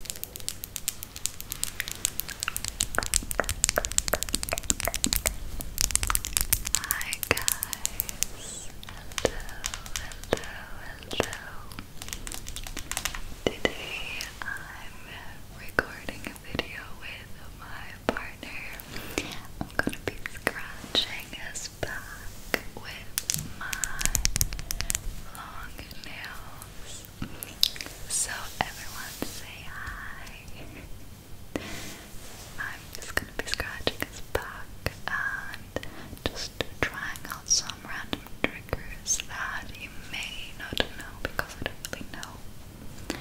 Hi guys, hello, hello, hello. Today I'm recording a video with my partner. I'm gonna be scratching his back with my long nails. So everyone say hi. I'm just gonna be scratching his back and just trying out some random triggers that you may not know because I don't really know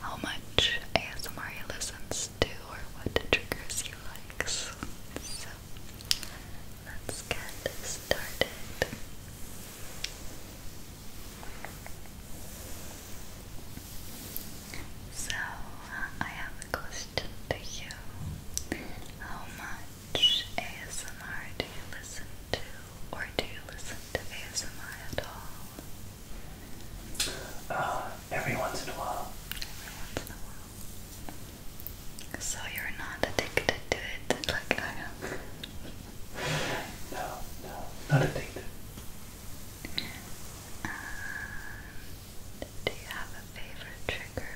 how much ASMR he listens to or what triggers he likes. So let's get started. So, I have a question to you. How much ASMR do you listen to, or do you listen to ASMR at all? Uh, every once in a while. Every once in a while. So you're not addicted to it like I am? No, no, not addicted. And do you have a favorite trigger?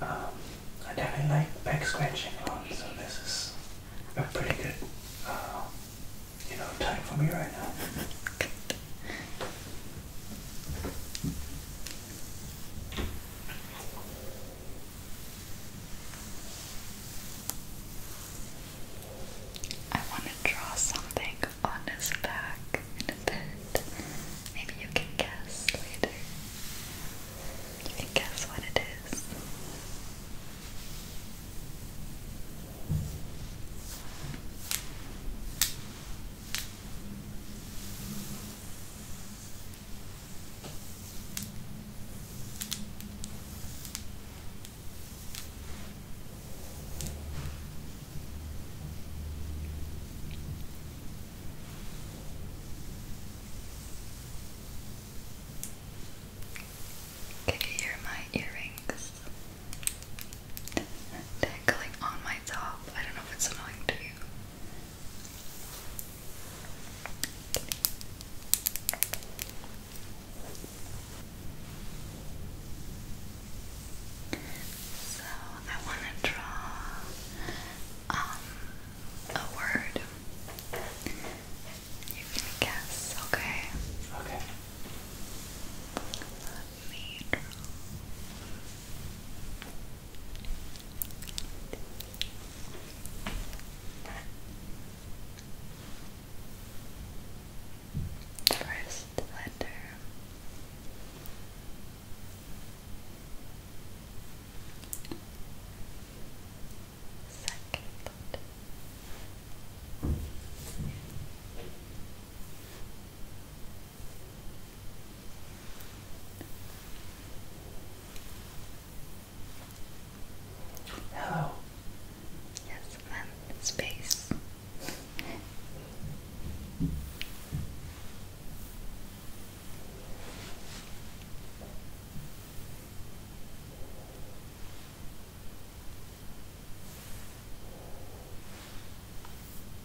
Um, I definitely like back scratching on, so this is a pretty good, uh, you know, time for me right now. I want to draw something on his back in a bit. Maybe you can guess later. You can guess what it is. Can you hear my earrings? they on my top. I don't know if it's annoying to you. So I want to draw um, a word. You can guess, okay? Okay. Let me draw. First letter. Second. Hello. Yes, i space.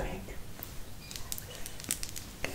Okay. Right. Good.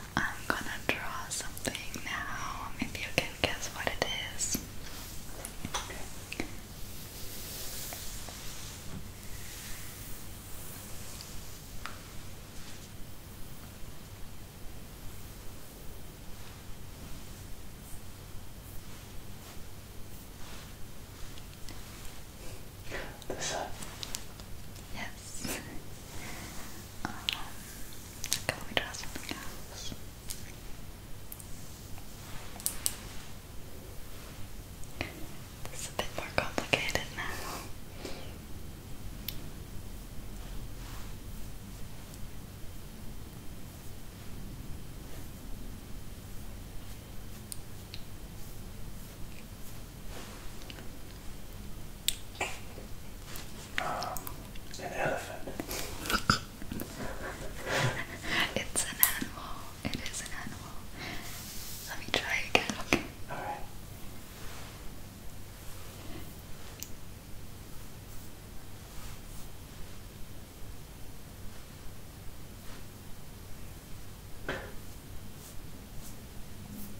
I'm gonna draw something now. If you can guess what it is. This Yes. Um, can we try something else? This a bit more complicated now. Um, an elephant. it's an animal. It is an animal. Let me try again, okay? Alright.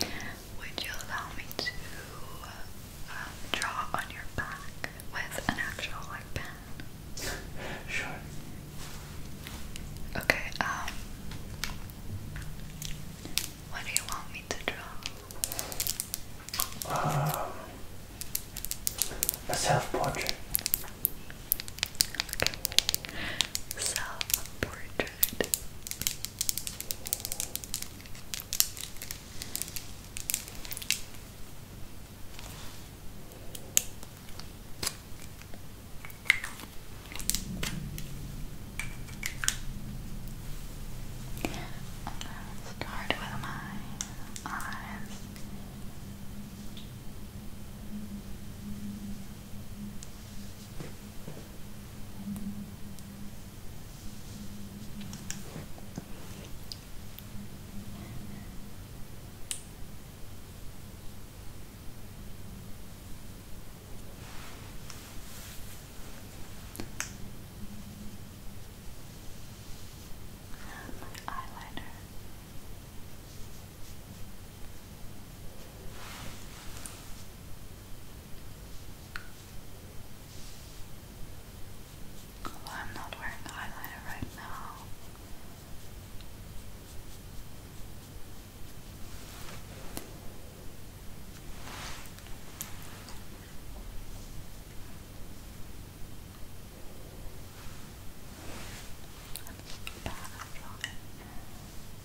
Would you allow me to um, draw on your back with an actual pen? Sure. Okay. Um, what do you want me to draw? Um. A self-portrait. Self-portrait good. i start with my eyes eyeliner. Although I'm not wearing eyeliner right now. That's bad,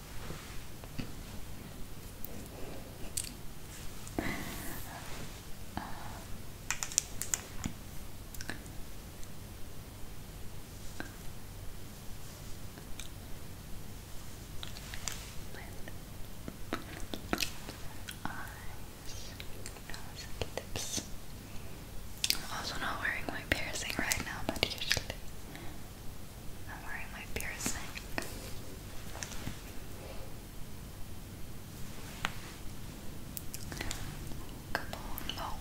uh, eyes, I'm also not wearing my piercing right now, but usually I'm wearing my piercing. Come on, mold.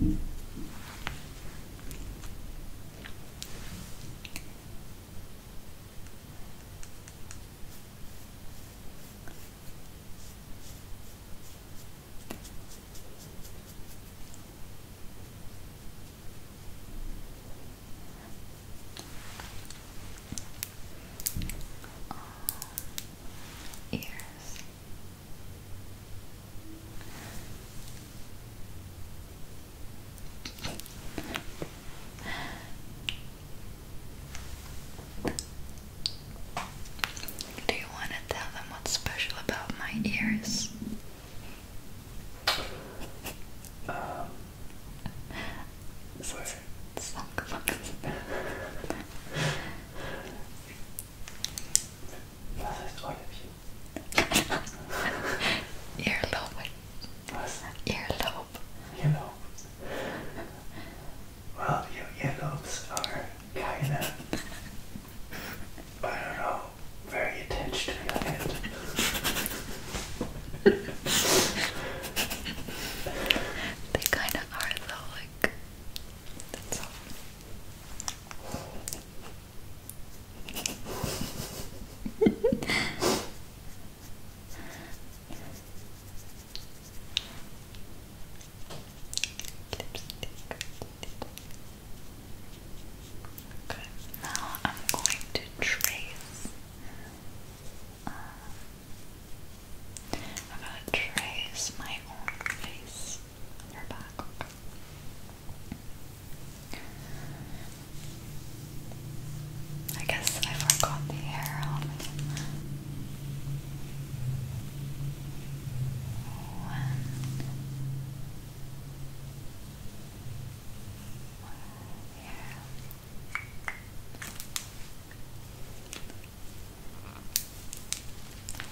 Um, ears. Do you want to tell them what's special about my ears? Um, sorry. That is What? Earlobe. Earlobe. Well, your earlobes are kind of, I don't know, very attached they kind of are though, like, that's all. Okay, now I'm going to trace. Uh, I'm going to trace my own face your back. Okay. I guess I forgot the arrow. One. One here.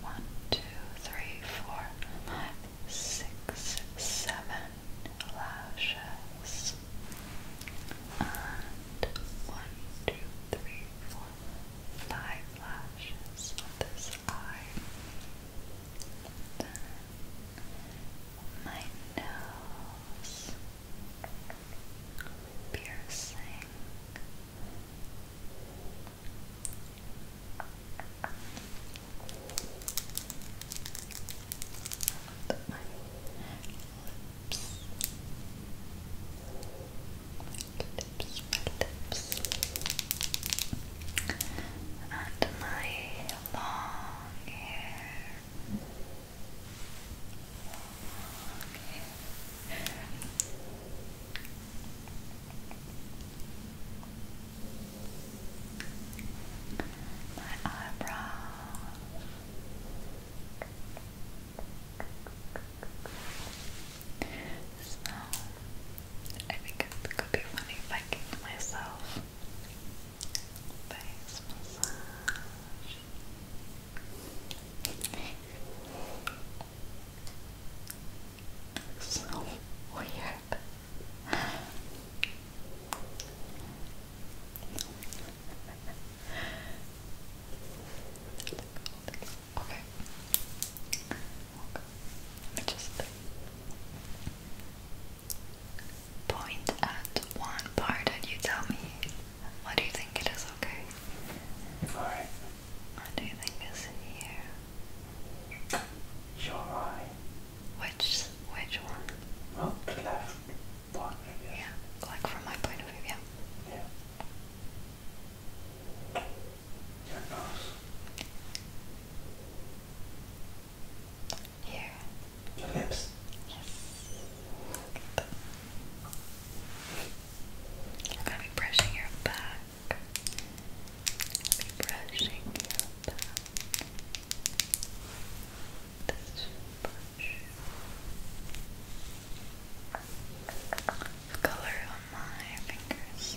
One, two, three, four, five, six, seven lashes. And one, two, three, four, five lashes on this eye. my nose piercing Put my and my long hair. Long hair. My eyebrows. So, I think it could be funny if I gave myself face massage. So weird. Okay. Let just point at one part and you tell me what do you think it is, okay? Alright. What do you think is here? Your eye. Which which one? Well, the left one. Yeah, like from my point of view, yeah. Your nose. Here. Your lips. Yes. I'm gonna be brushing your back. be brushing your back. This brush. Color on my fingers.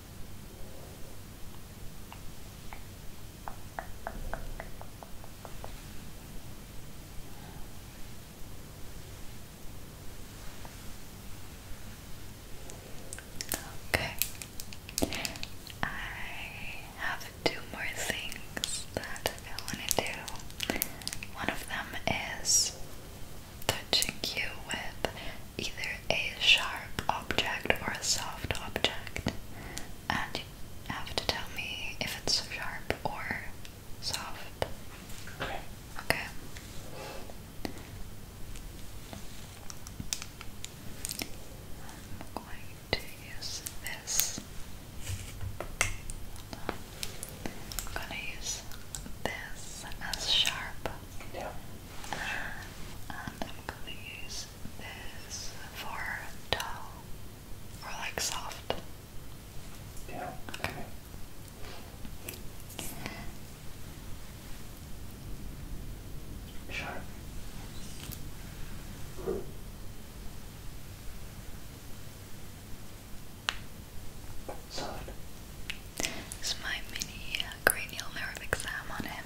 Okay, I have two more things that I want to do. One of them is touching you with either a sharp object or a soft object, and you have to tell me if it's sharp or soft. Okay. Okay. I'm going to use this. I'm gonna use this as sharp. Yeah and I'm gonna use this for dull or like soft. Yeah. Sure. Soft. It's my mini uh, cranial nerve exam on him.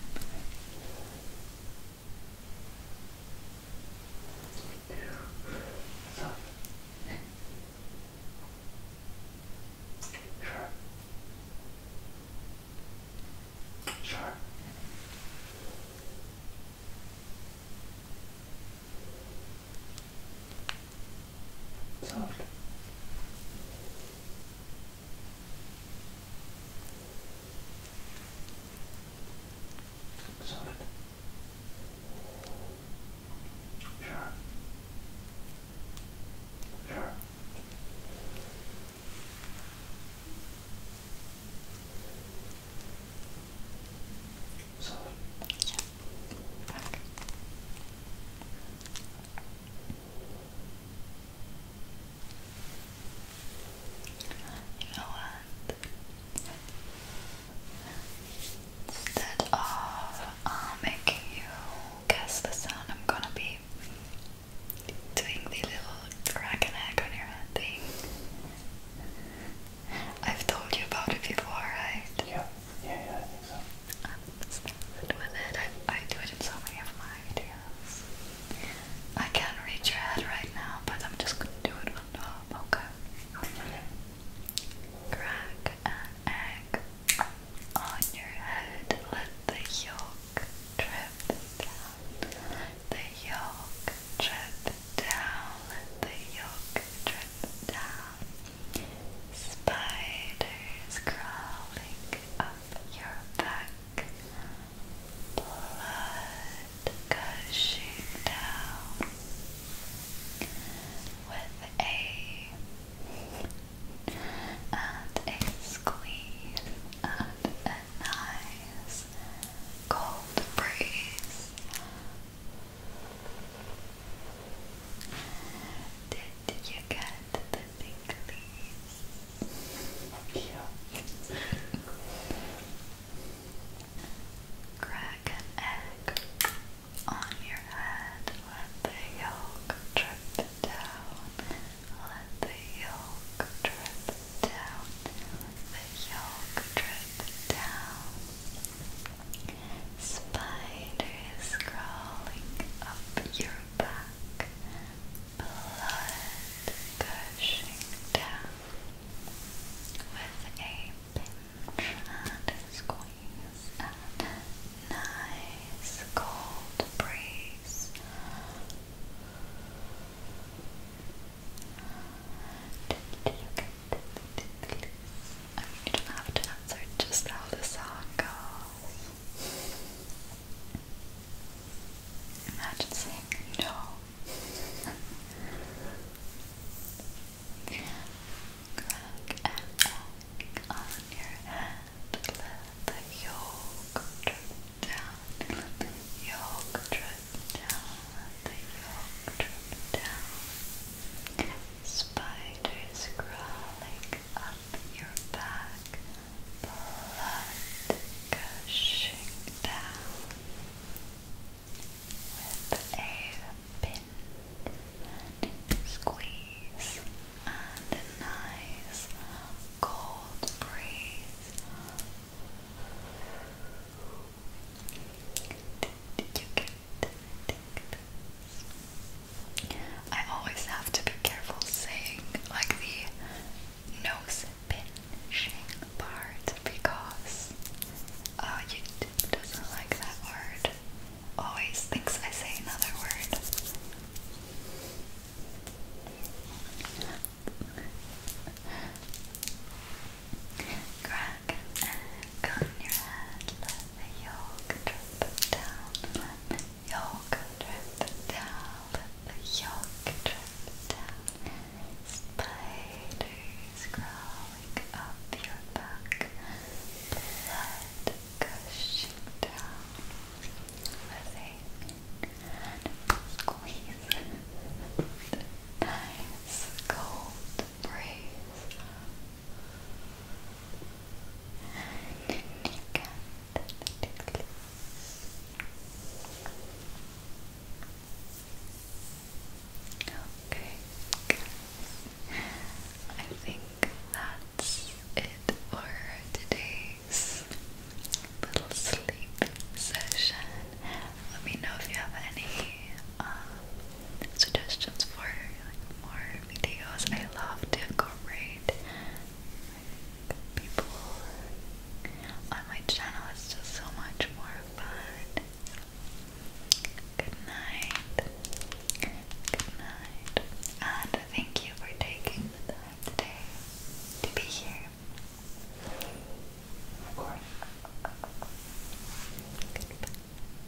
Sure. Sure soft. Soft. Sharp. Sharp. Soft. Back. You know what? Instead of uh, making you guess the sound, I'm gonna be doing the little crack egg on your head thing. I've told you about it before, right? Yeah. Yeah, yeah, I think so. Um, that's doing it. I, do it in so many of my videos. I can't reach your head right now, but I'm just gonna do it on top, okay? Okay. Crack an egg on your head. Let the yolk drip down. The yolk drip down. Let the yolk drip down. Spiders crawling up your back, blood gushing down with a and a squeeze and a nice cold breeze. Did you get the tingly? Yeah. Crack an egg on your head. Let the yolk drip down. Let the yolk drip down. the yolk drip down. Spiders crawling up your back, blood gushing down with a pinch and squeeze a nice cold breeze. Did you get the you don't have to answer just how the song goes. Imagine saying no. Crack an egg on your head. Let the yolk drip down. the yolk drip down. the yolk drip down. Spiders crawling up your back, blood gushing down with a pin squeeze and a nice cold breeze. You can I always have to be careful saying like the nose pinching part because uh, doesn't like that word. Always thinks I say another word. Crack and your head, yoke drip down, the yoke drip down, the yoke drip down. Spiders crawling up your back, blood gushing down with a squeeze. nice cold breeze and you Okay, I think that's it for today's little sleep session. Let me know if you have any uh, suggestions for like, more videos. I love to incorporate like, people on my channel. It's just so much more fun. Good night. Good night. And thank you for taking the time today to be here. Of course. Goodbye.